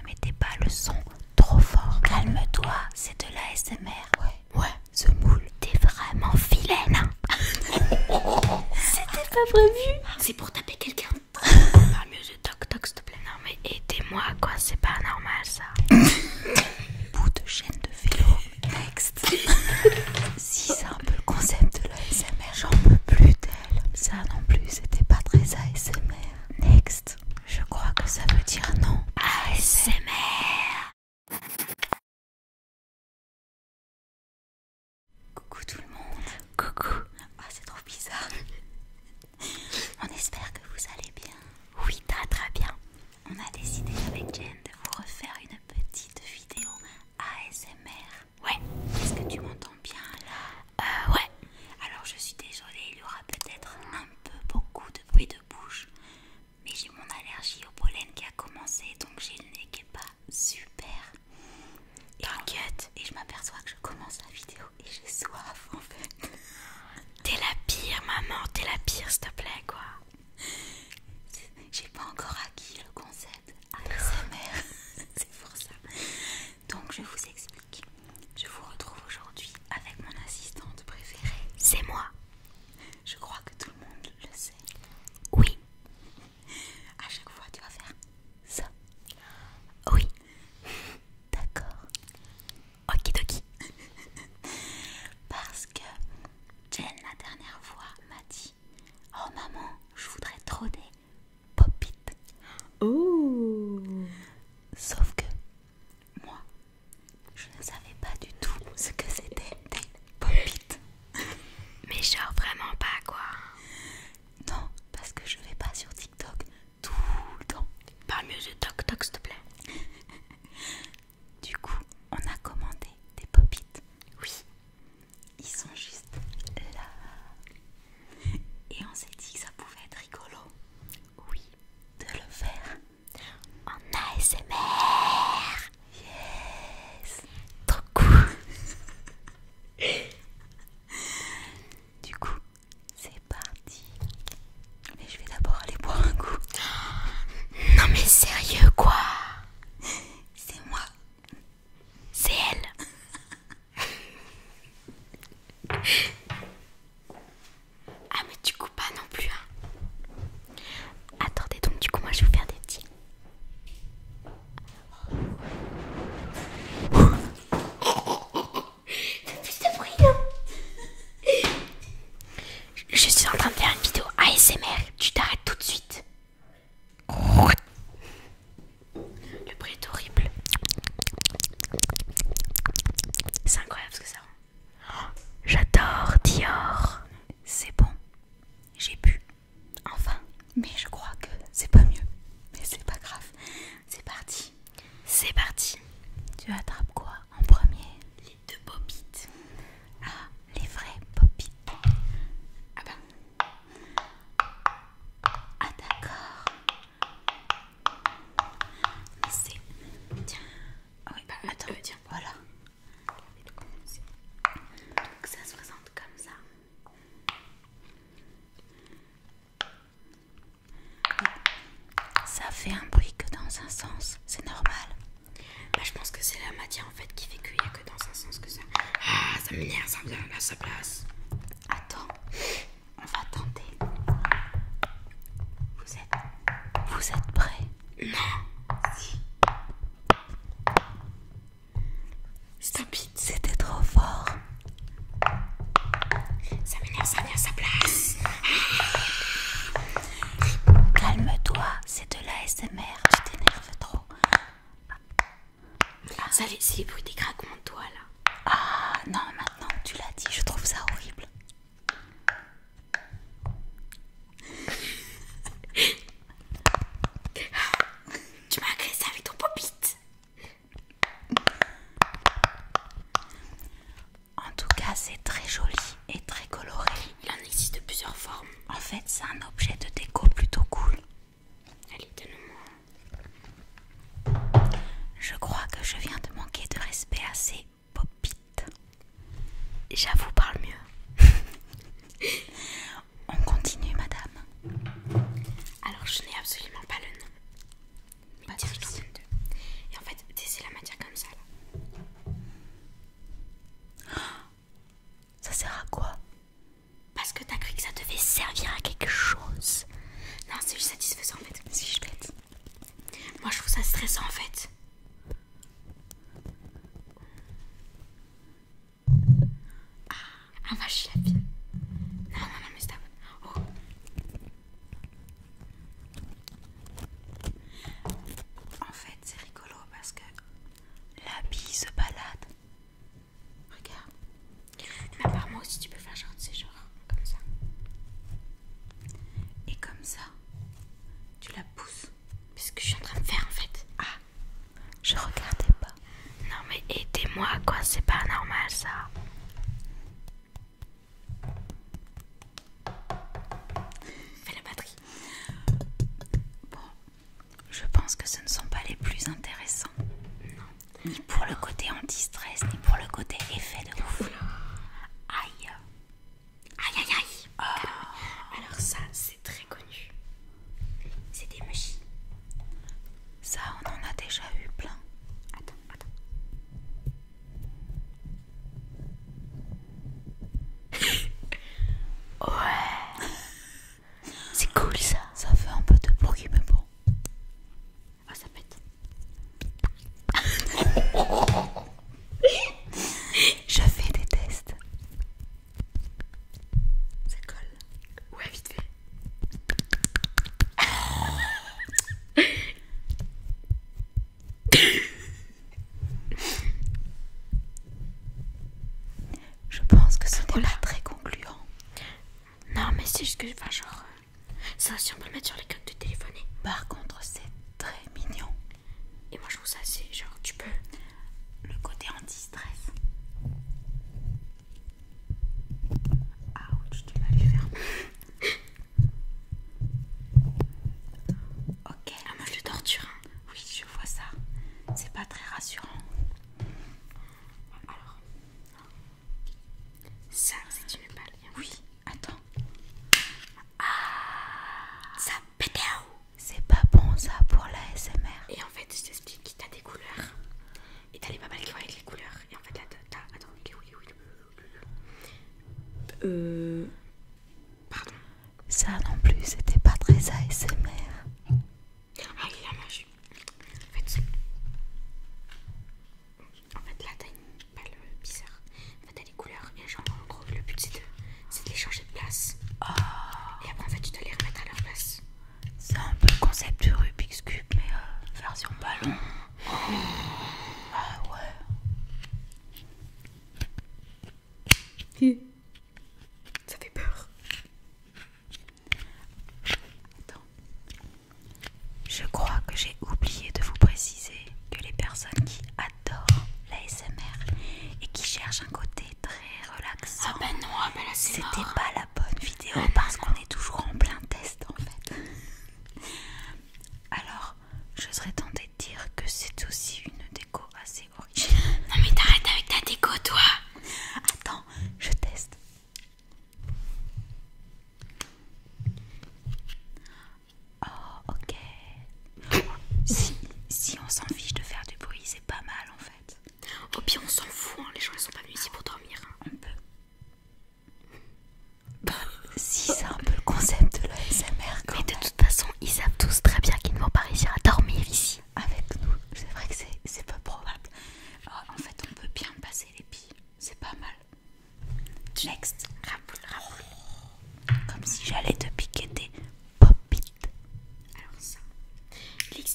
Ne mettez pas le son trop fort. Calme-toi, c'est de l'ASMR. Ouais. Ouais, ce moule, t'es vraiment filaine C'était pas prévu. C'est pour taper quelqu'un. Parle mieux de toc toc, s'il te plaît. Non, mais aidez-moi, quoi, c'est pas normal ça. Bout de chaîne de vélo. Next. si c'est un peu le concept de l'ASMR, j'en peux plus d'elle. Ça non plus, c'était pas très ASMR. Next. Je crois que ça veut dire non. ASMR. Coucou tout le monde. Coucou. Ah, c'est trop bizarre. On espère que vous allez bien. Oui, très très bien. On a décidé avec Jen de vous refaire une petite vidéo ASMR. Ouais. Est-ce que tu m'entends bien là euh, ouais. Alors je suis désolée, il y aura peut-être un peu beaucoup de bruit de bouche, mais j'ai mon allergie au pollen qui a commencé, donc j'ai le nez qui est pas super. T'inquiète. Et je m'aperçois que je commence la vidéo et j'ai soif en fait. T'es la pire maman, t'es la pire s'il te plaît quoi. J'ai pas encore acquis le concept ASMR, c'est pour ça. Donc je vous explique. Je vous retrouve aujourd'hui avec mon assistante préférée. C'est moi. Je crois que tout le monde le sait. Oui. À chaque fois, tu vas faire ça. Oui. D'accord. Okidoki. Parce que Jen, la dernière fois, m'a dit Oh maman, je voudrais trop Pop Oh Sauf que moi, je ne savais pas du tout ce que c'était des Pop It. Mais genre vraiment pas quoi. Non, parce que je vais pas sur TikTok tout le temps. Pas mieux de TikTok, s'il te plaît. du coup, on a commandé des Pop It. Oui. Ils sont juste là. Et on s'est dit que ça pouvait être rigolo, oui, de le faire en ASMR. Yes, trop cool. du coup, c'est parti. Mais je vais d'abord aller boire un coup. Non mais sérieux quoi C'est moi. C'est elle ah mais tu coupes pas non plus hein. Attendez donc du coup moi je vais vous faire des petits Fais plus de non hein. Je suis en train de faire une vidéo ASMR Tu t'arrêtes tout de suite le bruit est horrible. C'est incroyable ce que ça rend. J'adore Dior. C'est bon. J'ai bu. Enfin. Mais je crois que c'est pas mieux. Mais c'est pas grave. C'est parti. C'est parti. Tu attrapes quoi en premier Les deux pop-it Ah, les vrais pop-it Ah ben, ah d'accord. C'est... Tiens. Ah oui, bah attends, euh, tiens, voilà. Donc ça se ressente comme ça. Ça fait un bruit que dans un sens, c'est normal. Bah, je pense que c'est la matière en fait qui fait qu'il a que dans un sens que ça. Ah, ça m'énerve, ça me donne à sa place. Attends, on va tenter. Vous êtes, vous êtes prêts Non. Si. Stupide, c'était trop fort. Ça m'énerve, ça vient à sa place. Calme-toi, c'est de l'ASMR, je t'énerve trop. Ah, ça, c'est les bruits des craquements de doigts là. Ah non, maintenant tu l'as dit, je trouve ça horrible. tu m'as ça avec ton pop-it En tout cas, c'est très joli et très coloré. Il en existe plusieurs formes. En fait, c'est un objet de déco plutôt cool. Allez, donne-moi. Je crois que je viens de manquer de respect à ces pop-it. J'avoue, parle mieux. On continue, madame. Alors, je n'ai absolument pas le nom. Pas Et en fait, c'est la matière comme ça, là. Oh ça sert à quoi Parce que t'as cru que ça devait servir à quelque chose. Non, c'est juste satisfaisant en fait. Si je bête. Moi je trouve ça stressant en fait. Ah, un vache Non, non, non, mais stop. Oh. En fait, c'est rigolo parce que la bille se balade Regarde. Mais moi aussi, tu peux faire genre, tu sais, genre comme ça. Et comme ça, tu la pousses. Mais ce que je suis en train de faire en fait. Ah, je regardais pas. Non, mais aidez-moi quoi, c'est pas normal ça. Fais la batterie. Bon, je pense que ce ne sont pas les plus intéressants. Ni pour le côté anti-stress, ni pour le côté effet de ouf. Aïe. Aïe aïe aïe. Oh. Ah Alors ça, c'est très connu. C'est des mouches. Ça, on en a déjà eu plein. Attends, attends. ouais. C'est cool ça. Ça fait un peu de bruit, mais bon. Ah, ça pète. Je fais des tests. Ça colle. Ouais, vite fait. Je pense que ce n'est pas très concluant. Non, mais c'est juste que, enfin, genre, euh, ça, si on peut le mettre sur les coques de téléphoner. Par contre, c'est très mignon. Et moi, je trouve ça, c'est genre, tu peux. Le côté en distress. Ah, tu tu m'as faire. ok. la ah, moi, de torture. Hein. Oui, je vois ça. C'est pas très rassurant. Alors, ça, c'est une balle. Oui, attends. Ah, ça pète C'est pas bon ça pour la SMR. Et en fait, je t'explique, t'as des couleurs. Et t'as les pas mal qui vont avec les couleurs. Et en fait, là, t'as. Attends, oui Euh. Pardon. Ça non plus, c'était pas très ASMR. Ah, il a mangé. En fait, en fait là, t'as une balle bizarre. En fait, t'as des couleurs. Et genre, en gros, le but c'est de, de les changer de place. Ah. Et après, en fait, tu dois les remettre à leur place. C'est un peu le concept de Rubik's Cube, mais euh, version ballon. Oh. Ah ouais. Ça fait peur. Attends. Je crois que j'ai oublié de vous préciser que les personnes qui adorent l'ASMR et qui cherchent un côté très relaxant, ah ben ah ben c'était pas la bonne vidéo parce qu'on est toujours en plein test en fait. Alors, je serais tentée de dire que c'est aussi une déco assez non mais t'arrêtes avec ta déco toi. Attends, je teste. Oh ok. si, on s'en fiche de faire du bruit, c'est pas mal en fait. Au pire on s'en fout, hein. les gens ils sont pas venus ici pour dormir. un On bah, si c'est un peu le concept de l'ASMR de toute façon, ils savent tous très bien qu'ils ne vont pas réussir à dormir ici avec nous. C'est vrai que c'est peu probable. Oh, en fait, on peut bien passer les billes. C'est pas mal. Next, Comme si j'allais te piquer des pop -it. Alors ça,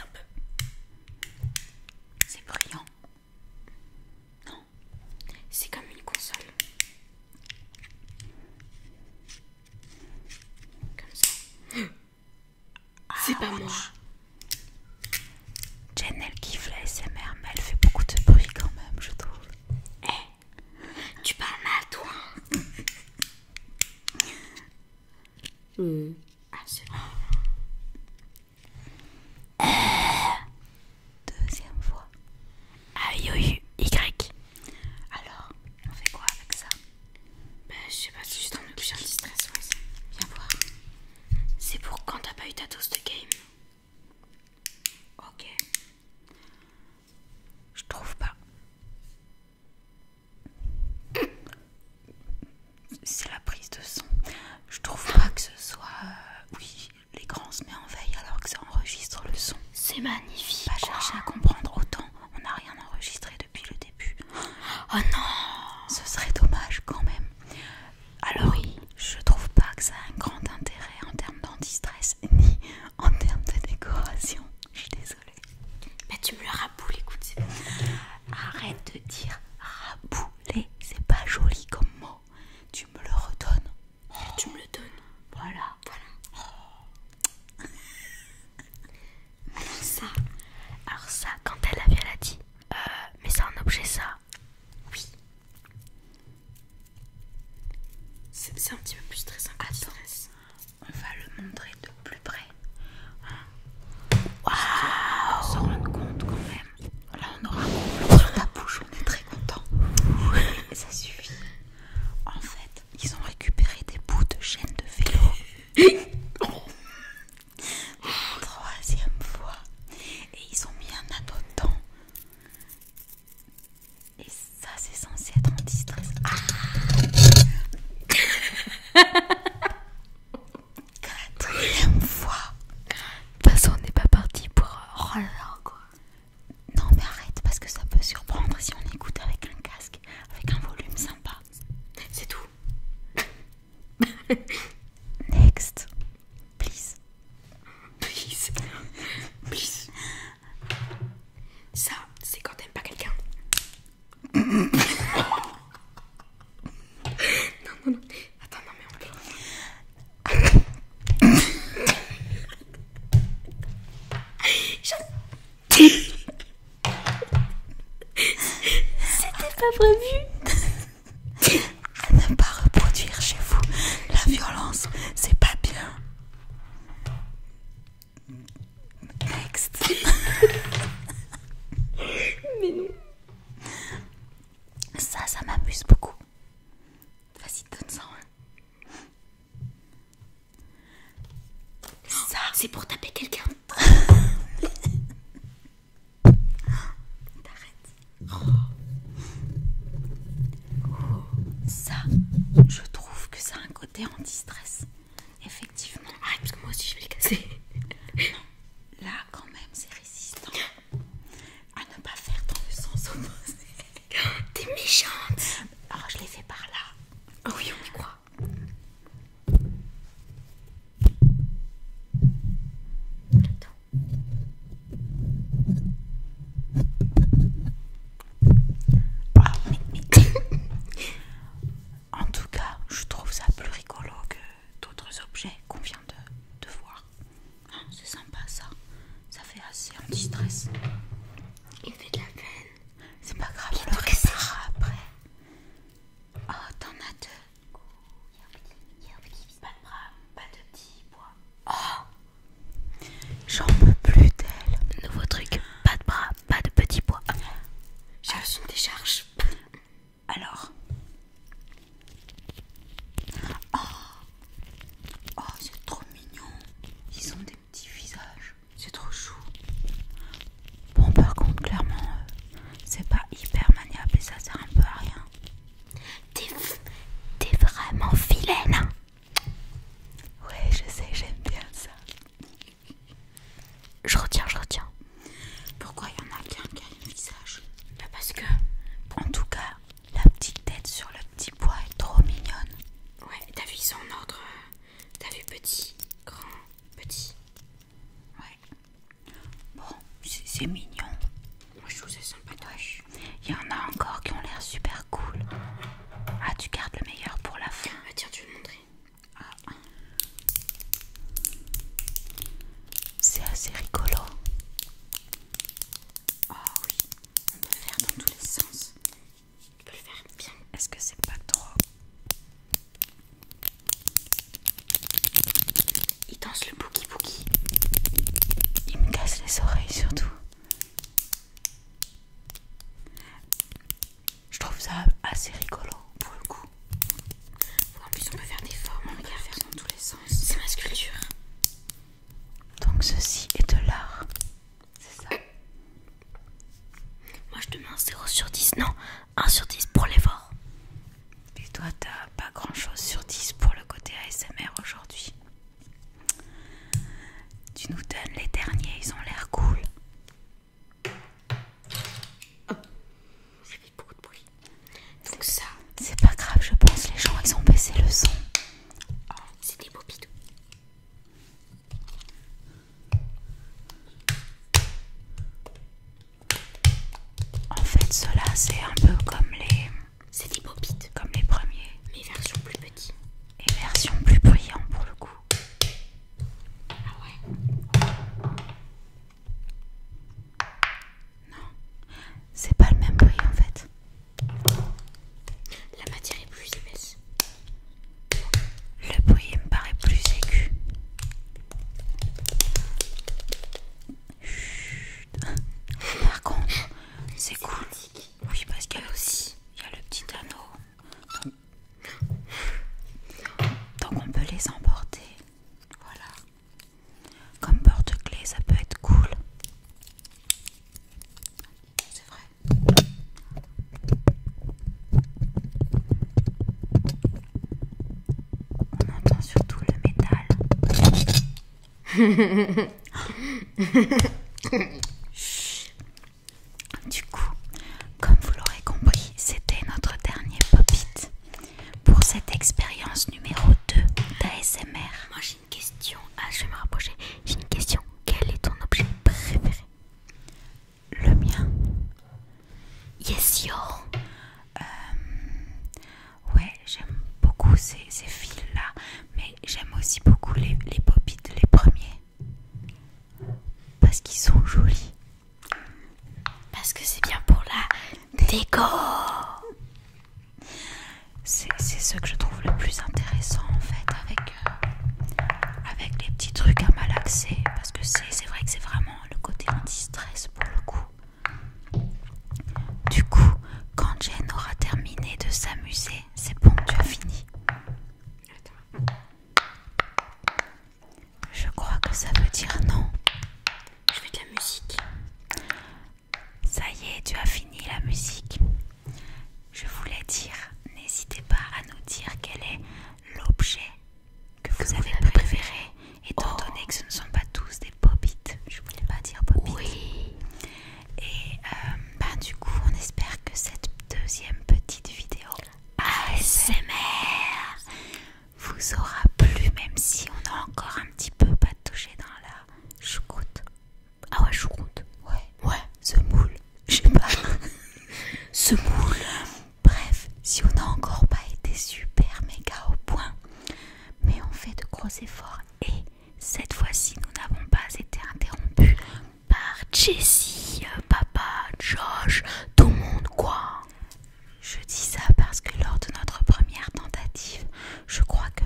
un peu. C'est brillant. Non, c'est comme une console. C'est pas moi. Jen, elle kiffe la mais elle fait beaucoup de bruit quand même, je trouve. Eh, tu parles mal, toi. Hmm. Euh. Deuxième fois. Aïe, I, O, Y. Alors, on fait quoi avec ça Bah, je sais pas, si juste un objet stress ouais, Viens voir. C'est pour quand t'as pas eu ta dose de game. Ok. Je trouve pas. C'est la prise de son. Je trouve pas que ce soit. Euh, oui, l'écran se met en veille alors que c'est enregistre le son. C'est magnifique. va chercher à comprendre autant. On n'a rien enregistré depuis le début. Oh non Ce serait dommage quand même. Alors oui, je trouve pas que ça a un grand intérêt en termes danti ni en termes de décoration. Je suis désolée. Mais tu me le raboules, écoute. Arrête de dire rabouler, c'est pas joli comme mot. Tu me le redonnes. Oh, tu me le donnes. Voilà. Voilà. Alors ça. Alors ça, quand elle la elle dit. Euh, mais c'est un objet ça. Oui. C'est un petit peu plus stressant On va le montrer de plus près. On s'en rend compte quand même. Là on aura sur ta bouche, on est très content. ça suffit. En fait, ils ont récupéré des bouts de chaîne de vélo. Troisième fois. Et ils ont mis un ado dedans. Et ça, c'est censé être en stress ah. Quatrième fois. De toute façon, on n'est pas parti pour. Oh quoi. Non mais arrête parce que ça peut surprendre si on écoute avec un casque, avec un volume sympa. C'est tout. Next. Please. Please. Please. Ça, c'est quand t'aimes pas quelqu'un. non, non, non. Attends, non mais on c'était pas prévu. ne pas reproduire chez vous la violence, c'est pas bien. Next. Mais non. Ça, ça m'amuse beaucoup. Vas-y, donne-en Ça, c'est pour taper quelqu'un. T'arrêtes. Ça, je trouve que ça a un côté anti-stress. Effectivement. Ah, parce que moi aussi je vais le casser. Là, quand même, c'est résistant à ne pas faire dans le sens opposé. T'es méchante. Alors je l'ai fait par là. Ah oui, on y croit. en tout cas, je trouve ça plus rigolo que d'autres objets qu'on vient de voir. Ah, c'est sympa ça. Ça fait assez anti-stress. Il fait de la peine. C'est pas grave, alors le après. Oh, t'en as deux. Pas de bras, pas de petits bois. Oh ah. J'en peux plus d'elle. Nouveau truc. Pas de bras, pas de petits bois. J'ai reçu une décharge. Alors, ah. Oh, c'est trop mignon. Ils ont des petits visages. C'est trop chou. Bon par contre clairement euh, c'est pas hyper maniable et ça sert un peu à rien. T'es vraiment filaine hein. Ouais je sais j'aime bien ça. Je retiens, je retiens. Pourquoi il y en a qu'un qui a un visage bah, Parce que, en tout cas, la petite tête sur le petit bois est trop mignonne. Ouais, t'as vu, ils sont en ordre. Euh, t'as vu, petit, grand, petit. Ouais. Bon, c'est mignon. Moi, je trouve ça sympatoche. Il y en a encore qui ont l'air super cool. Ah, tu gardes le meilleur pour la fin. Ah, tiens, tu veux montrer. Ah. C'est assez rigolo. Oh oui, on peut le faire dans tous les sens. On peut le faire bien. Est-ce que c'est pas trop Il danse le boogie boogie. Il me casse les oreilles surtout. Je trouve ça assez rigolo pour le coup. En plus, on peut faire des formes, on peut faire dans tous les sens. C'est ma sculpture. Donc ceci est de l'art. C'est ça. Moi je te mets 0 sur 10. Non, 1 sur 10 pour les l'effort. Et toi t'as pas grand chose sur 10 pour le côté ASMR aujourd'hui. Tu nous donnes les derniers, ils ont l'air cool. J'ai ça beaucoup de bruit. Donc ça. C'est pas grave, je pense. Les gens, ils ont baissé le son. Oh, c'est des pop En fait, cela c'est un peu comme les. C'est des bobites. Comme les premiers. Mais version plus petite. Et version plus brillante pour le coup. Ah ouais. Non, c'est pas le même bruit en fait. La matière est plus épaisse. Le bruit me paraît plus aigu. Par contre, c'est cool. Oui, parce qu'il y a aussi il y a le petit anneau. donc on peut les emporter. Voilà. Comme porte-clés, ça peut être cool. C'est vrai. On entend surtout le métal. du coup, comme vous l'aurez compris, c'était notre dernier pop-it pour cette expérience numéro 2 d'ASMR. Moi j'ai une question. Ah, je vais me rapprocher. J'ai une question. Quel est ton objet préféré Le mien. Yes, yo. Euh, ouais, j'aime beaucoup ces, fils-là, mais j'aime aussi beaucoup les, les de les premiers. Parce qu'ils sont jolis. Parce que c'est bien pour la Décor C'est ce que je trouve le plus intéressant en fait avec, euh, avec les petits trucs à malaxer parce que c'est vrai que c'est vraiment le côté anti-stress pour le coup. Du coup, quand Jen aura terminé de s'amuser, c'est bon, tu as fini. Je crois que ça veut dire non. Je fais de la musique. Ça y est, tu as fini la musique. Je voulais dire, n'hésitez pas à nous dire quel est l'objet que, vous avez préféré, Et étant oh. donné que ce ne sont pas tous des pop Je voulais pas dire pop Oui. Et euh, ben, du coup, on espère que cette deuxième petite vidéo ASMR vous aura plu, même si on a encore un petit peu pas touché dans la choucroute. Ah ouais, choucroute. Ouais, ouais, ce moule. Je sais pas. ce moule. Bref, si on n'a encore pas été super méga au point, mais on fait de gros efforts et cette fois-ci, nous n'avons pas été interrompus par Jessie, euh, papa, Josh, tout le monde quoi. Je dis ça parce que lors de notre première tentative, je crois que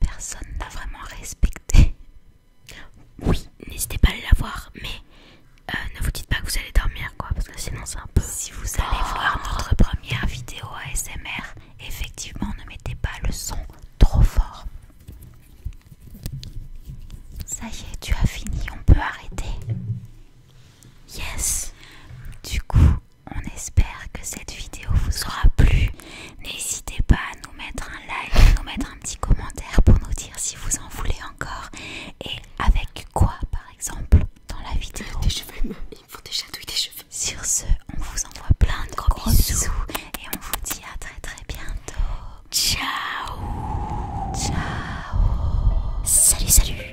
personne n'a vraiment respecté. Oui, n'hésitez pas à la voir, mais euh, ne vous dites pas que vous allez dormir, quoi, parce que sinon c'est un peu. Si vous allez voir notre première vidéo ASMR, effectivement, ne mettez pas le son trop fort. Ça y est, tu as fini, on peut arrêter. Yes Du coup, on espère que cette vidéo vous aura plu. N'hésitez pas à nous mettre un like, à nous mettre un petit commentaire pour nous dire si vous en voulez encore et avec quoi par exemple dans la vidéo. Des cheveux, il me faut des chatouilles des cheveux. Sur ce, on vous envoie plein de gros, bisous et on vous dit à très très bientôt. Ciao Ciao Salut salut